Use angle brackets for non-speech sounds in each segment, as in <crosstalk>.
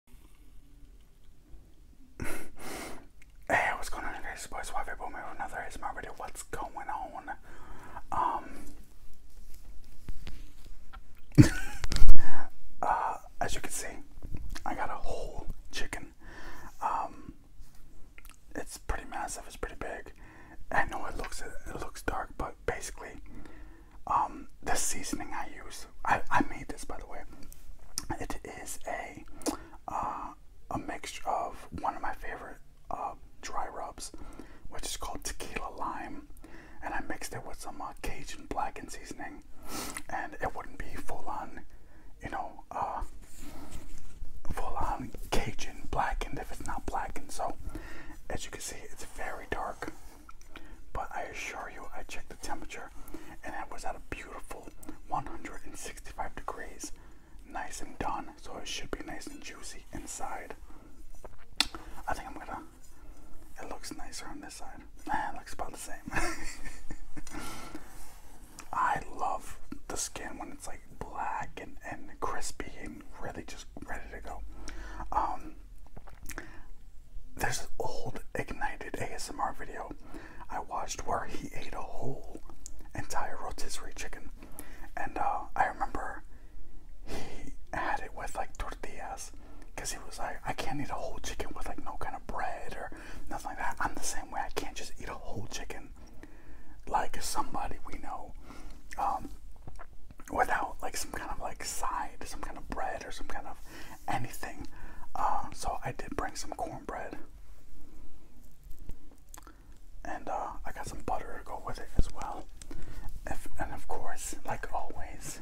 <laughs> hey, what's going on, guys? Boys, Waffy Boomer another ASMR video. What's going on? Um, <laughs> uh, as you can see, I got a whole chicken. Um, it's pretty massive. It's pretty big. I know it looks it looks dark, but basically, um, the seasoning I use. I, I made this by the way. It is a uh, a mixture of one of my favorite uh, dry rubs, which is called tequila lime, and I mixed it with some uh, Cajun blackened seasoning, and it wouldn't be full on, you know, uh, full on Cajun blackened if it's not blackened. So, as you can see, it's very dark. But I assure you, I checked the temperature and it was at a beautiful 165 degrees. Nice and done, so it should be nice and juicy inside. I think I'm gonna. It looks nicer on this side. Nah, <laughs> it looks about the same. <laughs> I love the skin when it's like black and, and crispy and really just ready to go. Um, there's an old ignited ASMR video I watched where he ate a whole entire rotisserie chicken, and uh, I remember he had it with like tortillas because he was like, I can't eat a whole chicken with like no kind of bread or nothing like that. I'm the same way. I can't just eat a whole chicken like somebody we know um, without like some kind of like side, some kind of bread or some kind of anything. Um, so I did bring some cornbread. And uh, I got some butter to go with it as well. and of course, like always,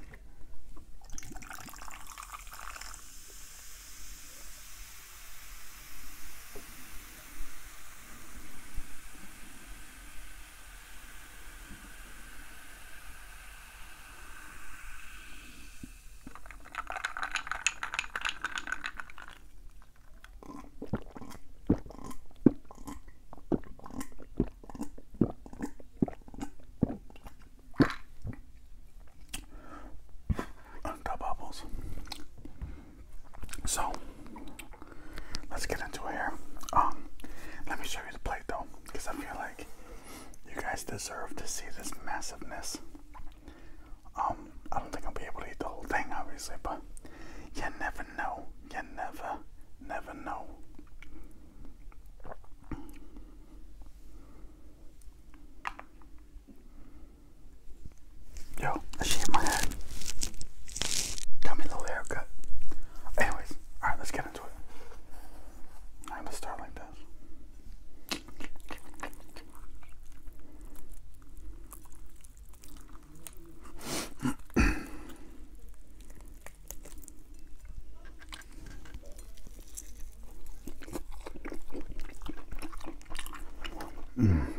the bubbles. So let's get into it here. Um, let me show you the plate though because I feel like you guys deserve to see this massiveness. Um, I don't think I'll be able to eat the whole thing, obviously, but you never know. You never, never know. Yo, I shaved my head. Got little haircut. Anyways, alright, let's get I'm gonna start like this. <clears throat> mm. <clears throat>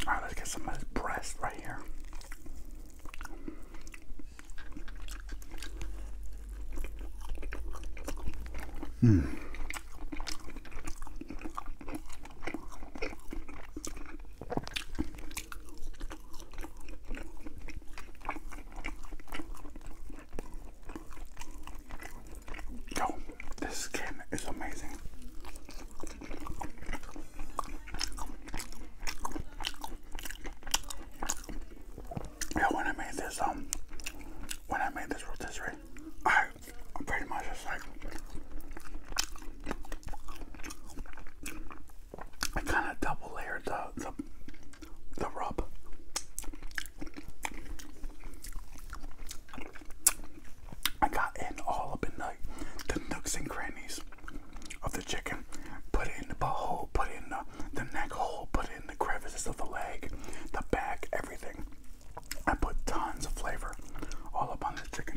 All right, let's get some of this breast right here. Hmm. Yo, this skin is amazing. Yeah, when I made this, um, when I made this rotisserie, I pretty much just like I kind of double layered the, the the rub. I got in all up in like the nooks and crannies of the chicken. Put it in the butthole, put it in the neck hole, put it in the crevices of the leg, the back, everything. I put tons of flavor all up on the chicken.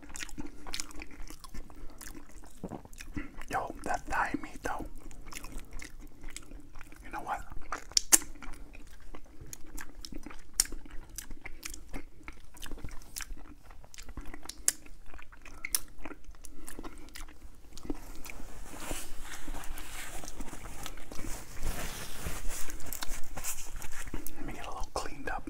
Yo, that Thai meat though. You know what? Let me get a little cleaned up.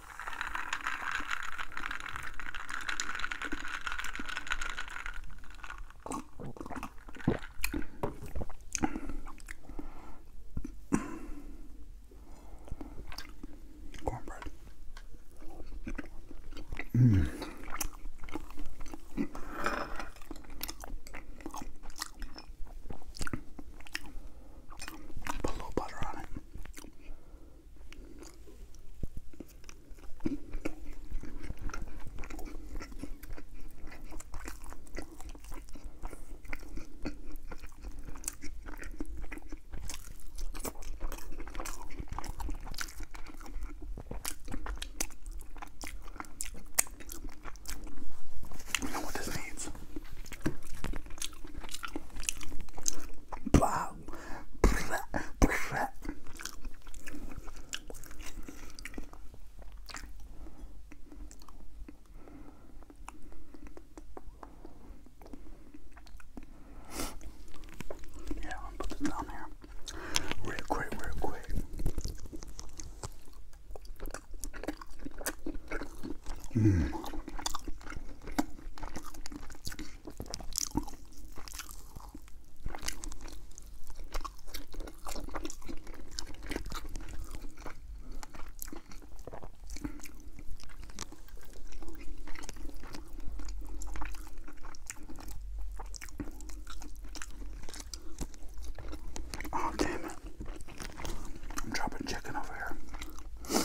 Cornbread. Mm. Put a little butter on it. You know what this means? Blah yeah, I'm gonna put this down here real quick, real quick. Mm. Oh, damn it. I'm dropping chicken over here.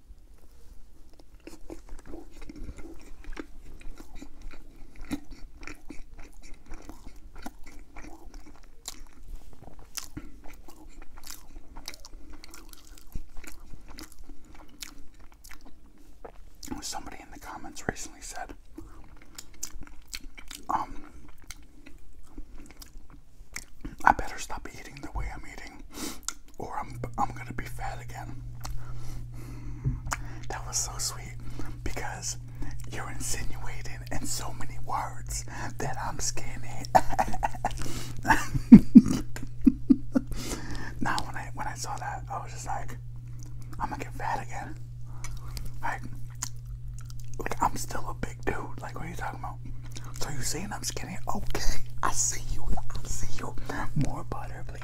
Somebody in the comments recently said, um, I better stop eating the way I'm eating, or I'm I'm gonna be fat again. That was so sweet because you're insinuating in so many words that I'm skinny. <laughs> now when I when I saw that, I was just like, I'm gonna get fat again. Like, like I'm still a big dude. Like, what are you talking about? So you saying I'm skinny? Okay, I see you. I see you. More butter, please.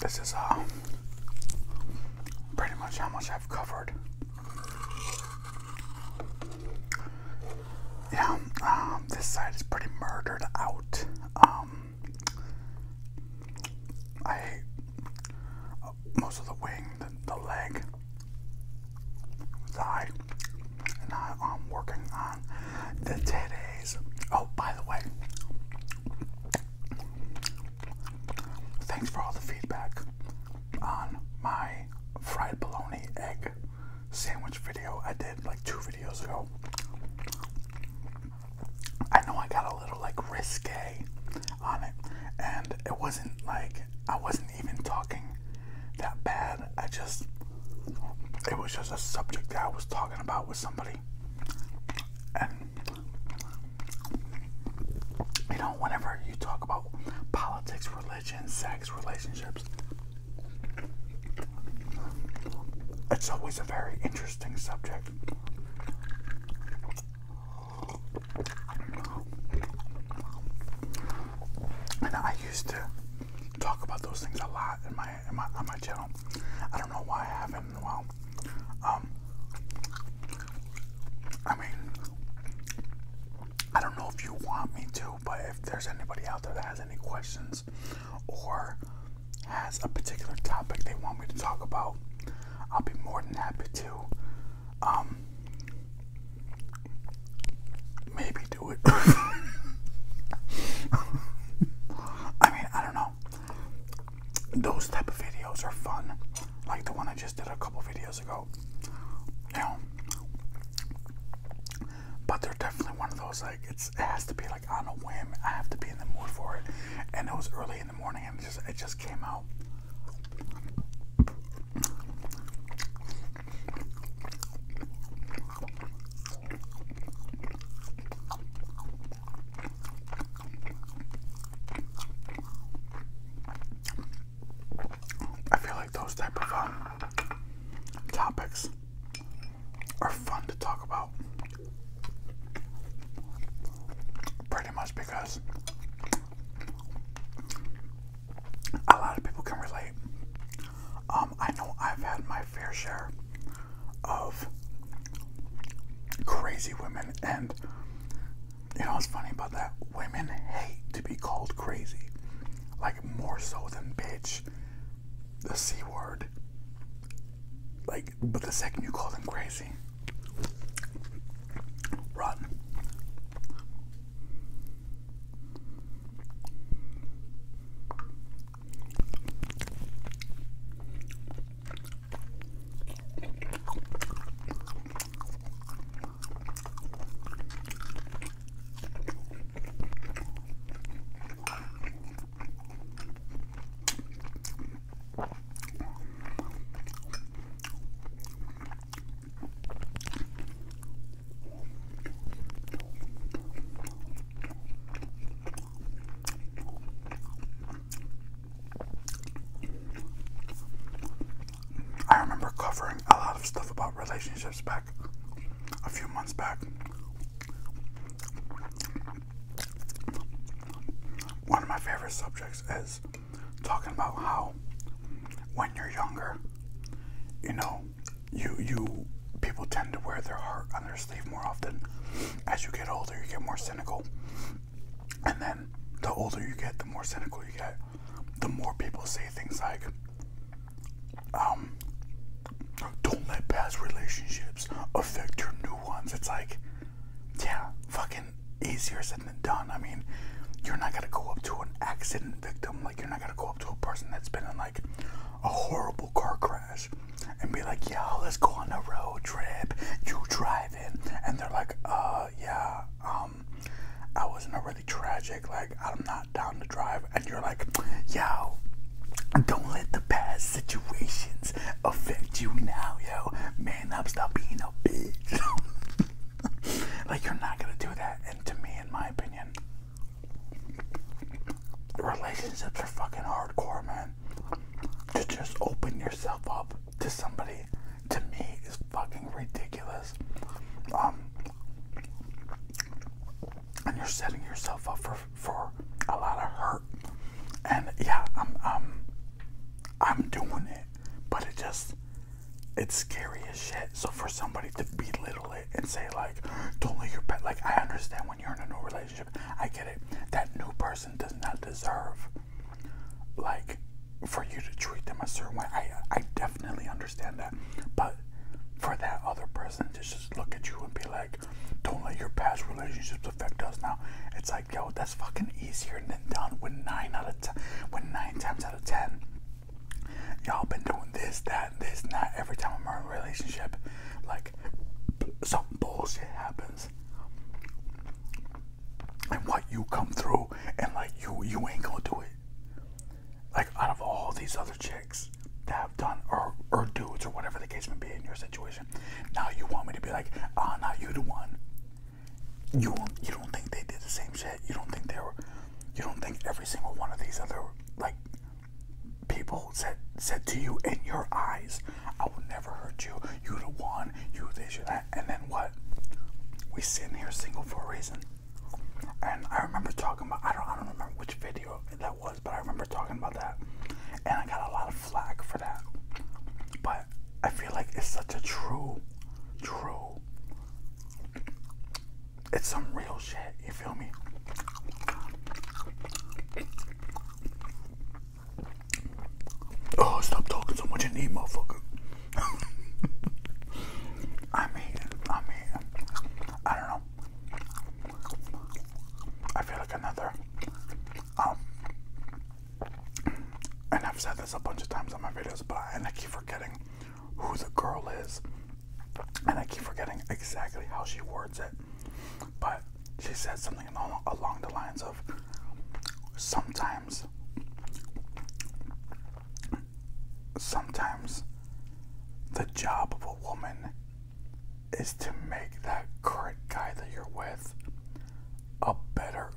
This is uh, pretty much how much I've covered. Yeah, um, this side is pretty murdered out. Um, I most of the wing, the, the leg, thigh, and I, am working on the titties. Oh, by the way, thanks for all the feedback on my fried bologna egg sandwich video I did like two videos ago. I know I got a little like risque on it, and it wasn't like I wasn't even talking that bad. I just, it was just a subject that I was talking about with somebody, and you know, whenever you talk about politics, religion, sex, relationships, it's always a very interesting subject. And I used to talk about those things a lot in my, in my on my channel. I don't know why I haven't in Um, I mean, I don't know if you want me to, but if there's anybody out there that has any questions or has a particular topic they want me to talk about, I'll be more than happy to um maybe do it. <laughs> I mean, I don't know. Those type of videos are fun. Like the one I just did a couple videos ago. You know. But they're definitely one of those like it's it has to be like on a whim. I have to be in the mood for it. And it was early in the morning it just came out. I feel like those type of um, topics are fun to talk about. Pretty much because a lot of people can relate. Um, I know I've had my fair share of crazy women, and you know what's funny about that? Women hate to be called crazy, like more so than bitch, the C word. Like, but the second you call them crazy, run. I remember covering a lot of stuff about relationships back a few months back one of my favorite subjects is talking about how when you're younger, you know, you you people tend to wear their heart on their sleeve more often. As you get older, you get more cynical. And then the older you get, the more cynical you get. The more people say things like, um, don't let past relationships affect your new ones. It's like, yeah, fucking easier said than done. I mean, you're not gonna go up to an accident victim, like, you're not gonna go up to a person that's been in like a horrible car crash and be like, yeah, let's go on a road trip, you driving, and they're like, uh, yeah, um, I was in a really tragic, like, I'm not down to drive, and you're like, yeah, don't let the past situations affect you now, yo. Man up, stop being a bitch. <laughs> like, you're not gonna do that. And to me, in my opinion, relationships are fucking hardcore, man. To just open yourself up to somebody, to me, is fucking ridiculous. Um, and you're setting yourself up for for a lot of hurt and yeah, I'm I'm doing it, but it just it's scary as shit. So for somebody to belittle it and say like, don't let your pet like I understand when you're in a new relationship, I get it. That new person does not deserve like for you to treat them a certain way. I I definitely understand that. But for that other person to just look at you and be like, don't let your past relationships affect us now. It's like, yo, that's fucking easier than done when nine out of when nine times out of ten, y'all been doing this, that, this, that every time I'm in a relationship. Like, some bullshit happens. And what you come through, and like you, you ain't gonna do it. Like out of all these other chicks, have done or or dudes or whatever the case may be in your situation. Now you want me to be like, ah, now not you the one. You you don't think they did the same shit. You don't think they were. You don't think every single one of these other like people said said to you in your eyes, I will never hurt you. You the one. You this. You that. And then what? We sitting here single for a reason. And I remember talking about I don't I don't remember which video that was but I remember talking about that, and I got a lot of flack for that. But I feel like it's such a true, true. It's some real shit. You feel me? Oh, stop talking so much in need, motherfucker. <laughs> I mean, I mean, I don't know. I feel like another. Um, and I've said this a bunch of times on my videos, but and I keep forgetting who the girl is, and I keep forgetting exactly how she words it. But she said something along the lines of, "Sometimes, sometimes, the job of a woman is to make that current guy that you're with a better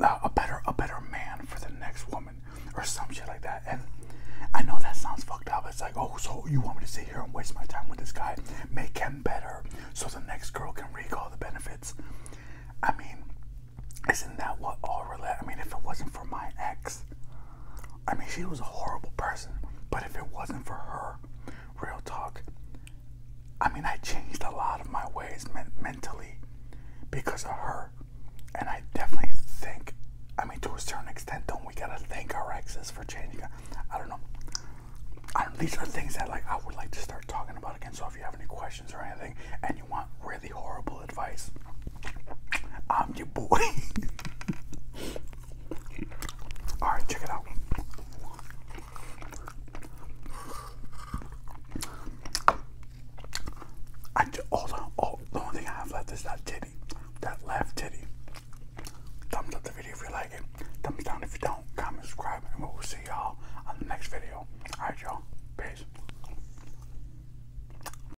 uh, a better a better man for the next woman or some shit like that and I know that sounds fucked up. It's like, oh, so you want me to sit here and waste my time with this guy, make him better, so the next girl can reap all the benefits. I mean, isn't that what all relate? I mean, if it wasn't for my ex, I mean, she was a horrible person, but if it wasn't for her, real talk, I mean, I changed a lot of my ways mentally because of her. And I definitely think, I mean, to a certain extent, don't we gotta thank our exes for changing? I don't know. these are things that like I would like to start talking about again. So if you have any questions or anything, and you want really horrible advice. I'm your boy. <laughs> Alright, check it out. I just, all the, oh, all, the only thing I have left is that titty. That left titty. Thumbs up the video if you like it. Thumbs down if you don't. Comment, subscribe, and we'll see y'all on the next video. Alright, y'all. Peace.